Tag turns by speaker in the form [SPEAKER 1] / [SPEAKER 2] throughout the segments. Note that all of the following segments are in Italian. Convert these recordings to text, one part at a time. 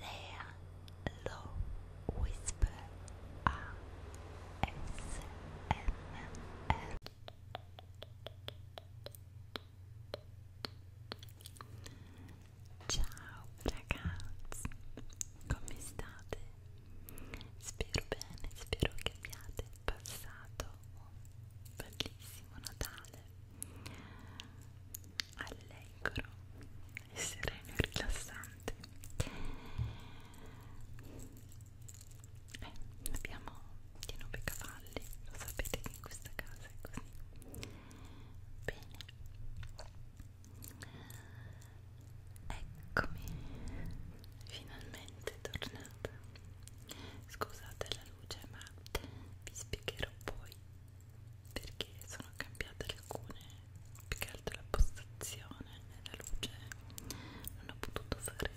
[SPEAKER 1] Lea Lo Whisper ASMR Ciao ragazzi, come state? Spero bene, spero che abbiate passato un bellissimo Natale allegro e sereno e rilassante eh, abbiamo 9 cavalli lo sapete che in questa casa è così bene eccomi finalmente tornata scusate la luce ma vi spiegherò poi perché sono cambiate alcune più che altro la postazione e la luce non ho potuto fare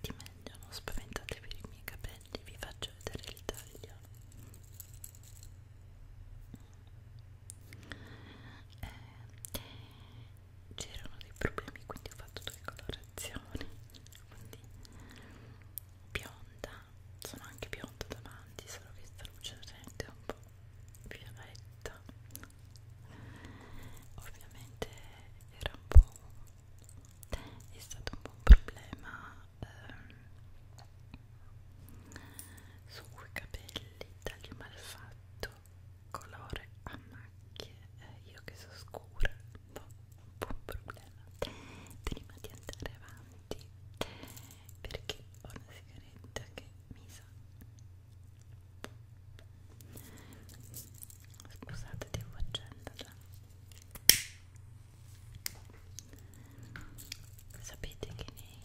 [SPEAKER 1] di meglio non spaventatevi i miei capelli vi faccio vedere il taglio eh, c'erano dei problemi quindi ho fatto due colorazioni quindi bionda sono anche bionda davanti solo che sta luce rende un po' violetta ovviamente era un po' è stato un po' un problema ehm, sui capelli taglio malfatto colore a macchie eh, io che so scura un po' un po' un problema prima di andare avanti perché ho una sigaretta che mi sa scusate devo accenderla sapete che nei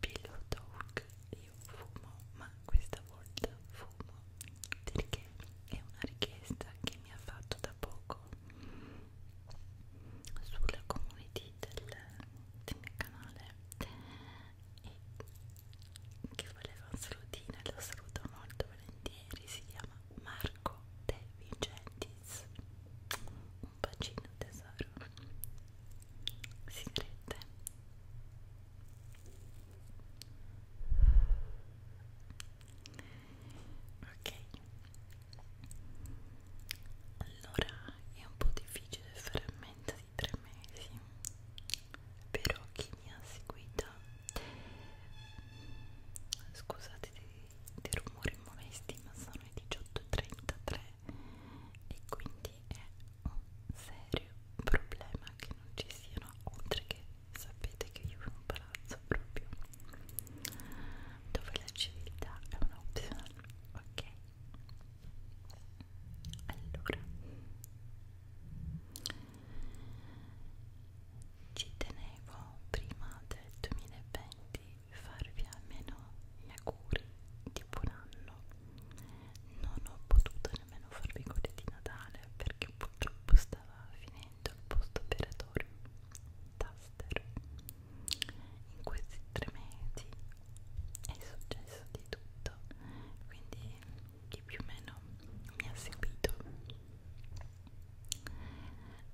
[SPEAKER 1] pillow talk io fumo ma questa volta fumo perché è una richiesta che che mi ha fatto da poco sulla community del, del mio canale e che voleva un salutino e lo saluto molto volentieri si chiama Marco De Vicentis un bacino tesoro sigarette ok allora è un po' difficile fare a mente di tre mesi però chi mi ha seguita scusate dei, dei rumori molesti ma sono le 18.33 e quindi è un serio problema che non ci siano oltre che sapete che io ho un palazzo proprio dove la civiltà è un'opzione ok allora ci tenevo prima del 2020 farvi almeno gli auguri di buon anno non ho potuto nemmeno farvi godi di Natale perché purtroppo stava finendo il post operatorio taster in questi tre mesi è successo di tutto quindi chi più o meno mi ha seguito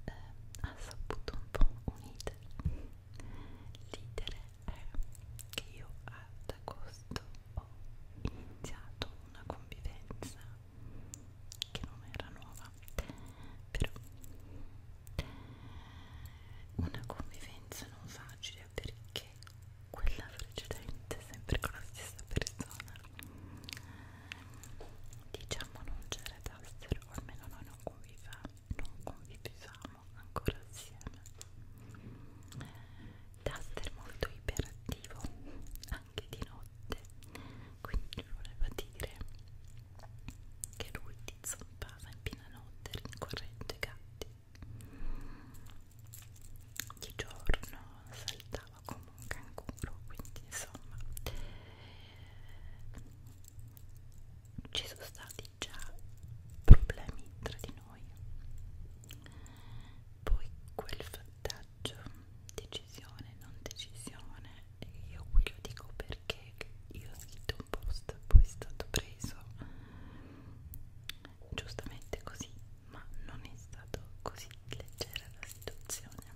[SPEAKER 1] eh, ha saputo un po' un iter l'iter è che io ad agosto ho iniziato una convivenza che non era nuova però una convivenza non facile perché quella precedente sempre con la stessa persona diciamo non c'era taster o almeno noi non convivevamo non convivevamo ancora assieme Duster molto iperattivo, anche di notte quindi voleva dire che lui ti zompava in piena notte rincorrendo i gatti di giorno saltava come un canguro quindi insomma ci sono stati già problemi tra di noi poi quel fantasma coraggio, decisione, non decisione e io qui lo dico perché io ho scritto un post poi è stato preso giustamente così ma non è stato così leggera la situazione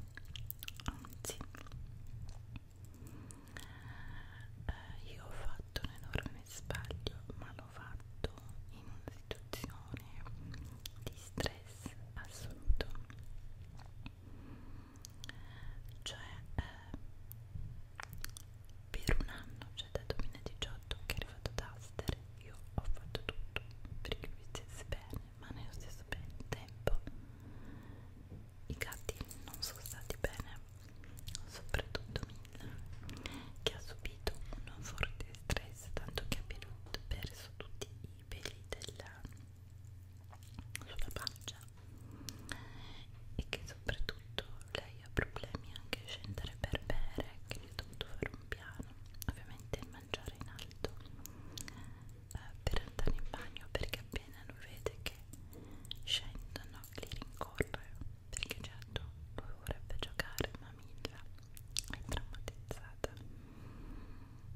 [SPEAKER 1] anzi eh, io ho fatto un enorme sbaglio ma l'ho fatto in una situazione di stress stress assoluto cioè eh, per un anno cioè dal 2018 che è arrivato Duster io ho fatto tutto perché mi stesse bene ma nello stesso tempo i gatti non sono stati bene soprattutto Mila che ha subito un forte stress tanto che ha perso tutti i i peli della, sulla pancia e che soprattutto lei ha problemi anche a scendere per bere che gli ho dovuto fare un piano ovviamente mangiare in alto eh, per andare in bagno perché appena lo vede che scendono li rincorre perché certo lui vorrebbe giocare ma Milla è traumatizzata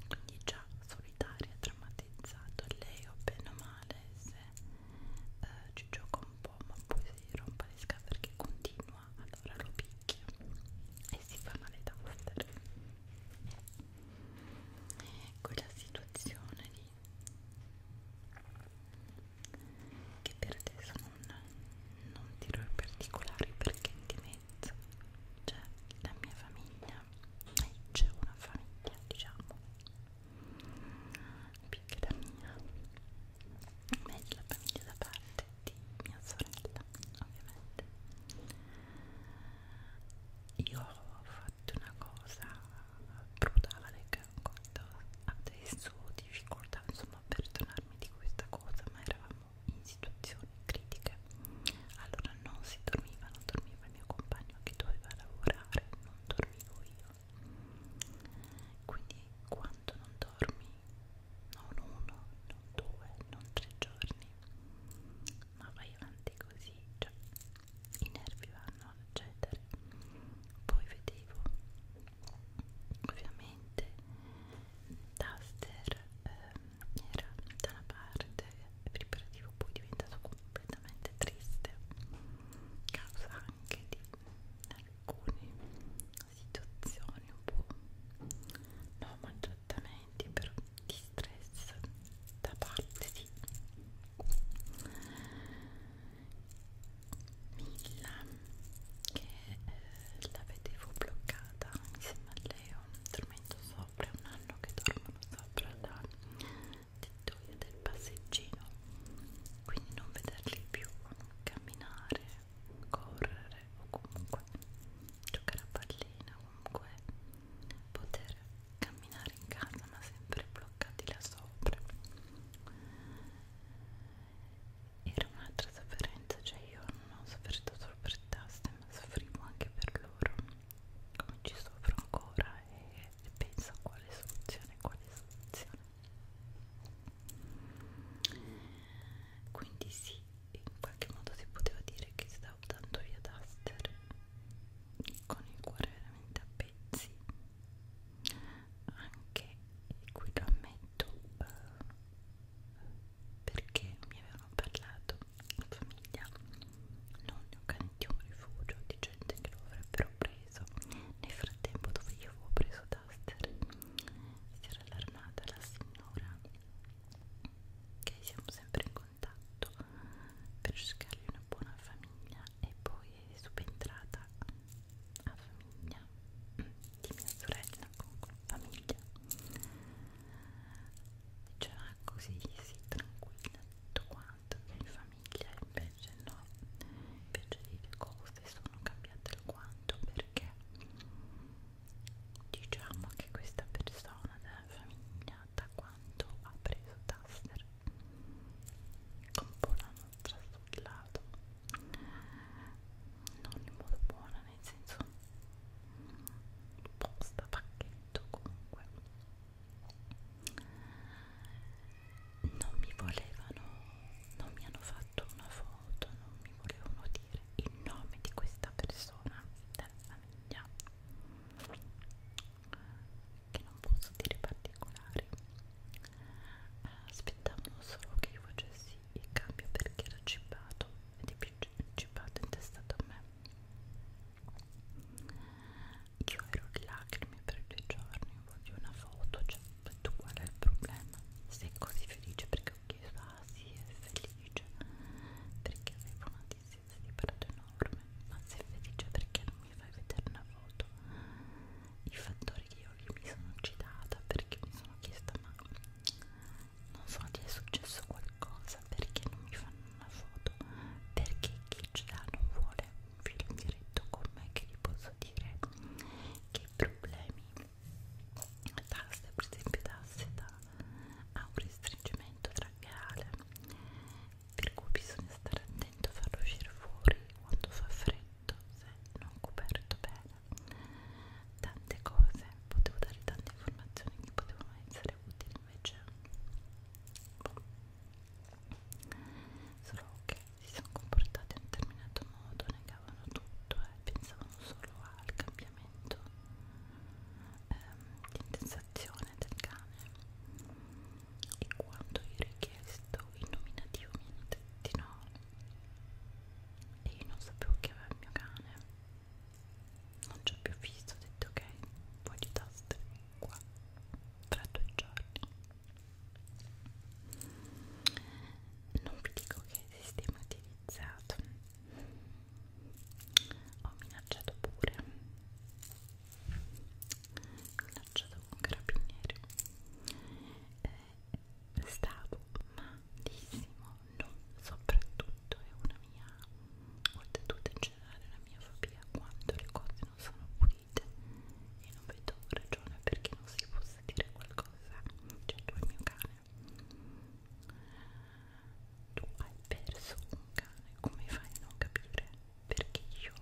[SPEAKER 1] quindi già solitaria e traumatizzato lei o bene o male se eh, ci gioca un po' ma poi si rompa le scale perché continua allora lo picchia e si fa male da master quella situazione lì che per adesso non, non dirò in particolare perché ti Smith c'è cioè la mia famiglia e eh, c'è una famiglia diciamo più che la mia meglio la famiglia da parte di mia sorella ovviamente io ho fatto una cosa brutale che ancora adesso ho difficoltà insomma per tornarmi di questa cosa ma eravamo in situazioni critiche allora non si dormiva non dormiva il mio compagno che doveva lavorare non dormivo io quindi quando non dormi non uno non due non tre giorni ma vai avanti così cioè i nervi vanno a cedere poi vedevo ovviamente taster ehm, era da una parte vibrativo poi diventato completamente triste causa anche di alcune situazioni un po' non maltrattamenti però di stress da parte di Milla che eh, la vedevo bloccata mi Himalaya dormendo sopra un anno che dormono sopra la tettoia del passeggino quindi non vederli più camminare, correre o comunque giocare a pallina comunque poter camminare in casa ma sempre bloccati là sopra era un'altra sofferenza, cioè io non ho sofferto solo per tasse, ma soffrivo anche per loro, come ci soffro ancora e, e penso a quale soluzione, quale soluzione. Quindi sì, in qualche modo si poteva dire che stavo dando via Duster con il cuore veramente a pezzi anche, e qui lo ammetto, eh, perché mi avevano parlato in famiglia non ne ho canti un rifugio di gente che lo avrebbero preso nel frattempo dove io avevo preso Duster si era allarmata la signora che siamo sempre in contatto per cercargli una buona famiglia e poi è subentrata a famiglia di mia sorella con la famiglia cioè così si tranquilla tutto quanto in famiglia invece no invece le cose sono cambiate alquanto perché diciamo che questa persona della famiglia da quanto ha preso Taster un po' la nostra sul lato non in modo buono nel senso mm, posta pacchetto comunque non mi volevano non mi hanno fatto una foto non mi volevano dire il nome di questa persona della famiglia che non posso dire particolari aspettavano solo che io facessi in cambio perché era cippato ed è cippato intestato a me io ero in lacrime per due giorni voglio una foto cioè tu qual è il problema sei così felice perché ho chiesto ah sì è felice perché avevo una distanza di parato enorme ma sei felice perché non mi fai vedere una foto i fattori che io mi sono citata perché mi sono chiesta ma non so gli è successo qualcosa perché non mi fanno una foto perché chi ce l'ha non vuole un film diretto con me che gli posso dire che problemi tasse per esempio tasse da ha un restringimento traccheale per cui bisogna stare attento a farlo uscire fuori quando fa freddo se non coperto bene tante cose, potevo dare tante informazioni che potevano essere utili invece boh. solo che si sono comportati in un determinato modo, negavano tutto e eh, pensavano solo al cambiamento ehm, di intensazione del cane e quando io ho richiesto il nominativo mi hanno detto no e io non sapevo che aveva il mio cane non ci ho più visto ho detto ok poi di taste qua tra due giorni non vi dico che sistema ho utilizzato ho minacciato pure minacciato con carabinieri eh, stavo malissimo, non soprattutto è una mia, oltretutto in generale la mia fobia quando le cose non sono pulite e non vedo ragione perché non si possa dire qualcosa, cioè tu il mio cane, tu hai perso un cane, come fai a non capire? Perché io,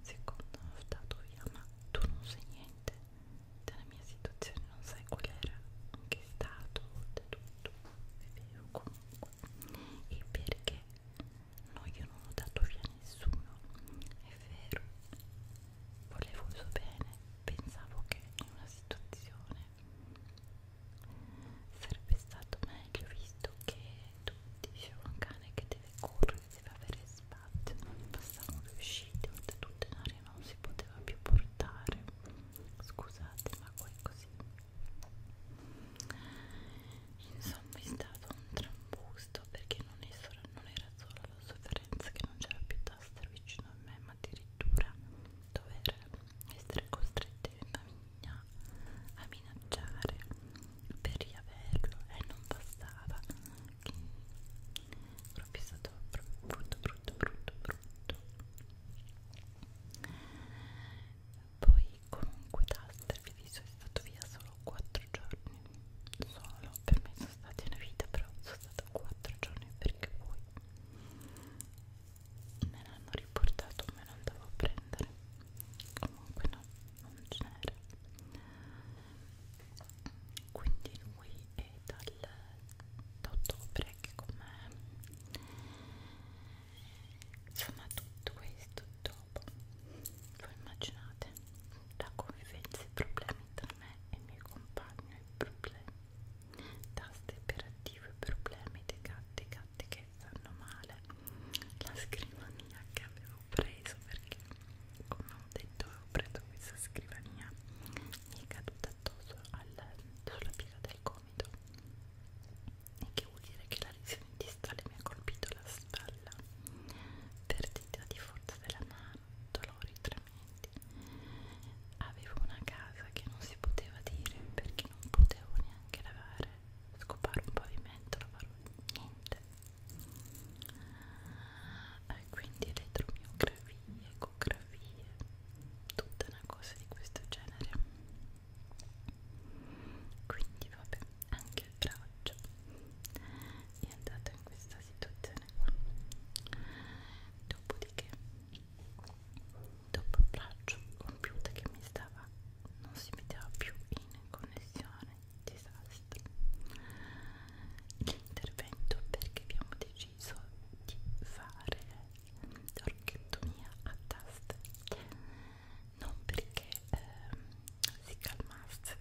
[SPEAKER 1] secondo, ho stato via, ma tu non sai niente della mia situazione non sai qual era anche stato tutto è vero comunque e perché no io non ho dato via nessuno è vero volevo il suo bene pensavo che in una situazione sarebbe stato meglio visto che tutti dicevano un cane che deve correre deve avere spazio, non passavano le uscite, oltretutto in aria non si poteva più portare, scusate ma poi così. Insomma è stato un trambusto perché non, è solo, non era solo la sofferenza che non c'era più Duster vicino a me, ma addirittura dover essere costretti in famiglia a minacciare per riaverlo e non bastava proprio è stato brutto brutto brutto brutto poi comunque Duster vi viso è stato via solo 4 giorni solo per me sono stati una vita però sono stato 4 giorni perché poi me l'hanno riportato me lo andavo a prendere comunque no non c'era quindi lui è dal da ottobre che con me insomma tutto questo dopo voi immaginate la convivenza i problemi tra me e il mio compagno i problemi taste operative i problemi dei gatti gatti che fanno male la scrivania che avevo ho preso perché come ho detto ho preso questa scrivania mi è caduta addosso al, sulla piega del gomito e che vuol dire che la lesione distale mi ha colpito la spalla perdita di forza della mano dolori trementi avevo una casa che non si poteva dire perché non potevo neanche lavare scopare un pavimento lavare niente e quindi elettromiografie, ecografie, tutta una cosa di questo genere quindi vabbè, anche il braccio è andato in questa situazione qua dopodiché dopo il braccio computer che mi stava non si metteva più in connessione disastro l'intervento perché abbiamo deciso di fare l'orchidectomia a taste non perché ehm, si calmasse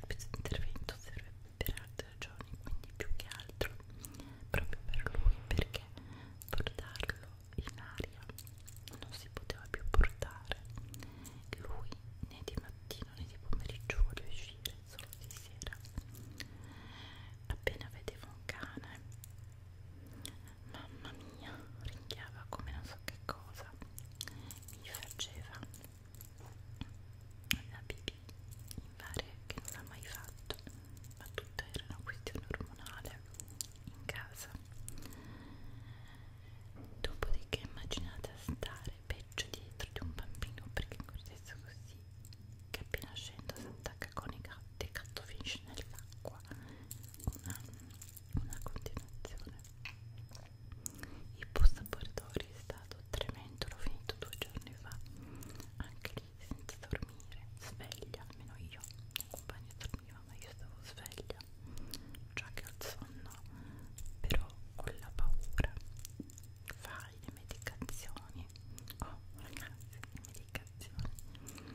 [SPEAKER 1] questo intervento serve per altre ragioni quindi più che altro proprio per lui perché portarlo in aria non si poteva più portare lui né di mattina mattino né di pomeriggio voglio uscire solo di sera appena vedevo un cane mamma mia ringhiava come non so che cosa mi faceva la pipì in varie che non l'ha mai fatto ma tutta era una questione ormonale in casa dopodiché immaginate stare peggio dietro di un bambino perché cortezza così che appena scendo si attacca con i gatti il gatto finisce nell'acqua una, una continuazione il post abordatori è stato tremendo l'ho finito due giorni fa anche lì senza dormire sveglia almeno io il mio compagno dormiva ma io stavo sveglia già che ho il sonno però ho la paura fai le medicazioni oh ragazzi le medicazioni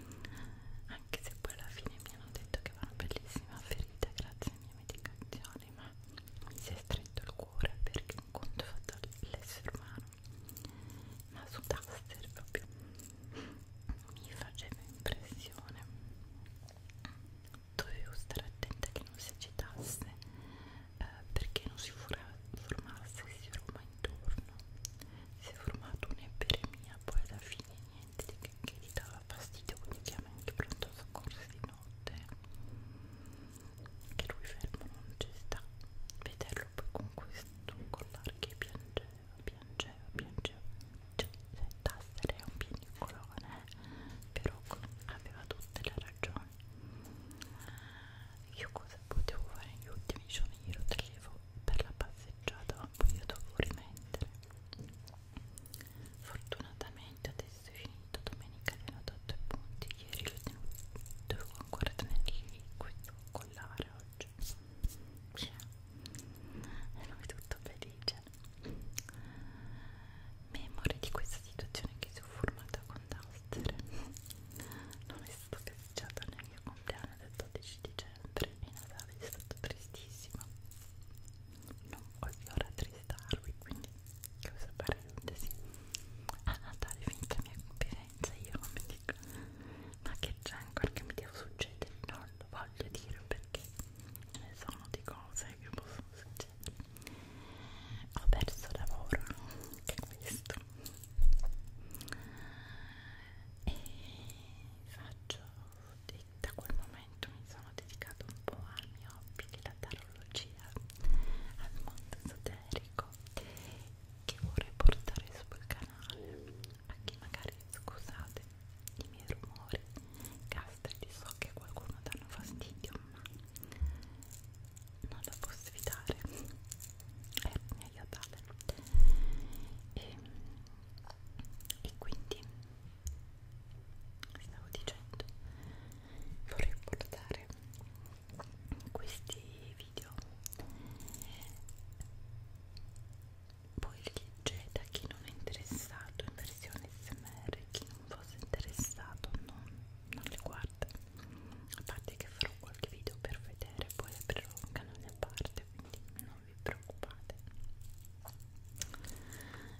[SPEAKER 1] anche se poi alla fine mi hanno detto che va una bellissima ferita grazie alle mie medicazioni ma mi si è stretto il cuore perché un conto ho fatto l'essere umano ma su Duster proprio mi faceva impressione dovevo stare attenta che non si agitasse eh, perché non si formasse si forma intorno si è formato un'eperemia poi alla fine niente che, che gli dava fastidio quindi chiama anche pronto soccorso di notte che lui fermo non ci sta vederlo poi con questo collare che piangeva piangeva piangeva cioè, se Tassere è un piagnucolone però aveva tutte le ragioni io cosa potevo fare negli ultimi giorni glielo tagliavo per la passeggiata poi io dovevo rimettere fortunatamente adesso è finito domenica ne ho dato i punti ieri l'ho tenuto dovevo ancora tenerli questo collare oggi cioè, ero tutto felice cioè, memore di questa situazione che sono formata con Duster non è stato festeggiato neanche il compleanno del 12 dicembre e Natale è stato tristissimo non voglio rattristarvi quindi cosa parentesi a ah, Natale finita mia confidenza io non mi dico ma che c'è ancora che mi devo succedere non lo voglio dire perché perché ne sono di cose che possono succedere ho perso lavoro anche questo e faccio da quel momento mi sono dedicato un po' al mio hobby della tarologia al mondo esoterico che vorrei portare sul canale a chi magari scusate i miei rumori castelli so che qualcuno danno fastidio ma non la posso evitare è meglio tale e, e quindi stavo dicendo vorrei portare questi video poi leggete a chi non è interessato in versione smr chi non fosse interessato non, non le guarda a parte che farò qualche video per vedere poi aprirò un canale a parte quindi non vi preoccupate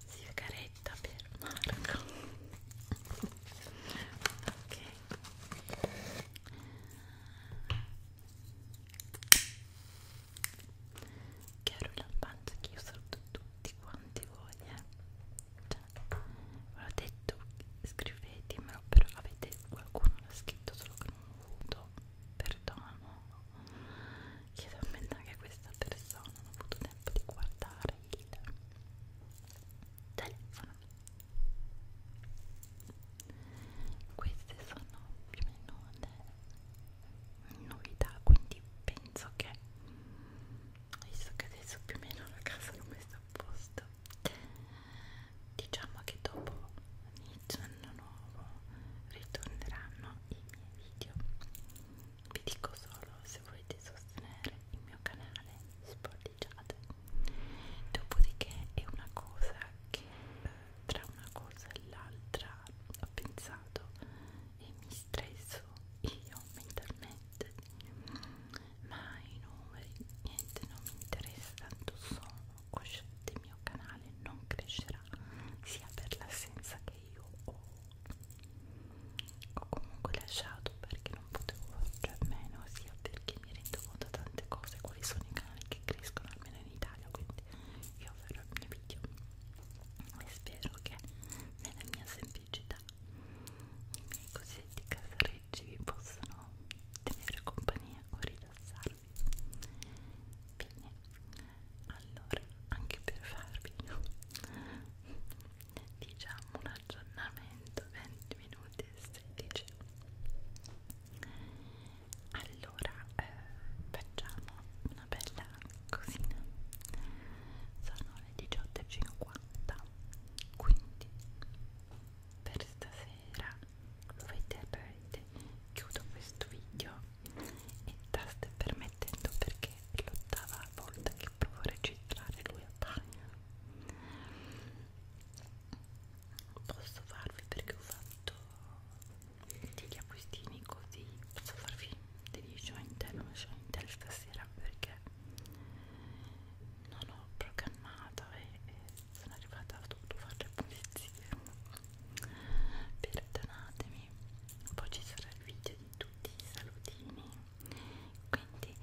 [SPEAKER 1] si caretta per Marco ok Chiaro lampante che io saluto tutti quanti voi, eh. Cioè, ve l'ho detto, scrivetemelo, però avete qualcuno l'ha scritto solo che non ho avuto perdono. Chiedo a me anche questa persona, non ho avuto tempo di guardare il telefono. Queste sono più o meno le novità quindi penso che visto che adesso più o meno la casa non mi sta a posto diciamo che dopo inizio anno nuovo ritorneranno i miei video vi dico solo se volete sostenere il mio canale sportigiate dopodiché è una cosa che eh, tra una cosa e l'altra ho pensato e mi stresso io mentalmente ma i numeri niente non mi interessa tanto sono cosciente il mio canale non crescerà sia per l'assenza che io ho ho comunque lasciato perché non potevo farci a meno sia perché mi rendo conto di tante cose quali sono i canali che crescono almeno in Italia quindi io farò il mio video e spero che nella mia semplicità i miei cosetti casarecci vi possano tenere compagnia o rilassarvi bene allora anche per farvi diciamo un aggiornamento 20 minuti e 16 allora eh, facciamo una bella cosina sono le 18.50 quindi per stasera lo vedrete chiudo questo video e state permettendo perché è l'ottava volta che provo a registrare lui a bagno posso farvi perché ho fatto degli acquistini così posso farvi degli show in tele, un show in tele stasera perché non ho programmato e, e sono arrivata ho dovuto fare le pulizie perdonatemi poi ci sarà il video di tutti i salutini quindi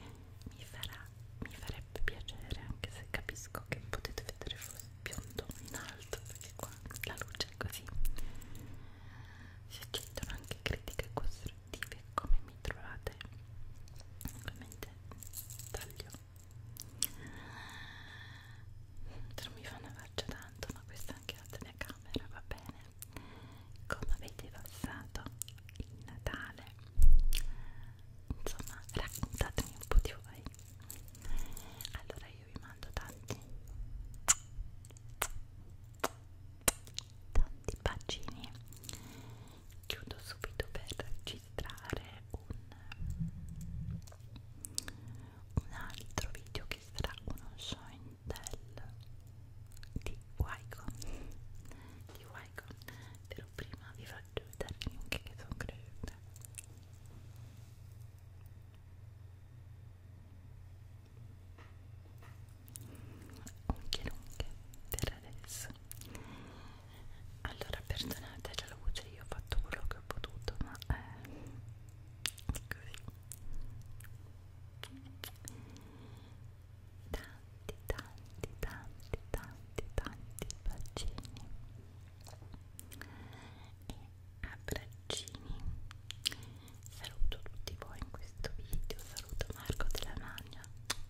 [SPEAKER 1] mi farà mi farebbe piacere anche se capisco che potete vedere voi biondo in alto perché qua la luce è così si accettano anche critiche costruttive come mi trovate ovviamente taglio non mi fa una faccia tanto ma questa è anche la telecamera va bene come avete passato il Natale insomma raccontatemi un po' di voi allora io io vi mando tanti tanti bacini chiudo subito per registrare un, un altro video che sarà uno show in tell di Wycon di Wycon però prima vi faccio vedere anche che sono cresciuta Unche lunghe per adesso Allora perdonate la luce, io ho fatto quello che ho potuto ma eh, è così Tanti, tanti, tanti, tanti, tanti bacini e abbraccini saluto tutti voi in questo video saluto Marco della Magna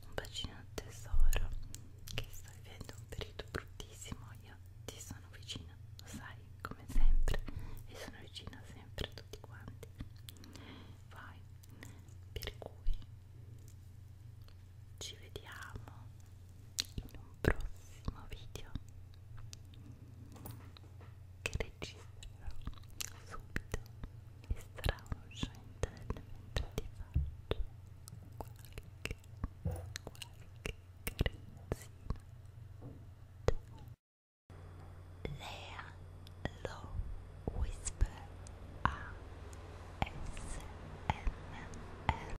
[SPEAKER 1] un bacino al tesoro che sto vivendo un periodo bruttissimo io ti sono vicina lo sai come sempre e sono vicina sempre a tutti quanti vai per cui ci vediamo in un prossimo video che registrerò subito e sarà un'uscita del mentre ti faccio qualche, qualche carezzina Lea Low Whisper ASMR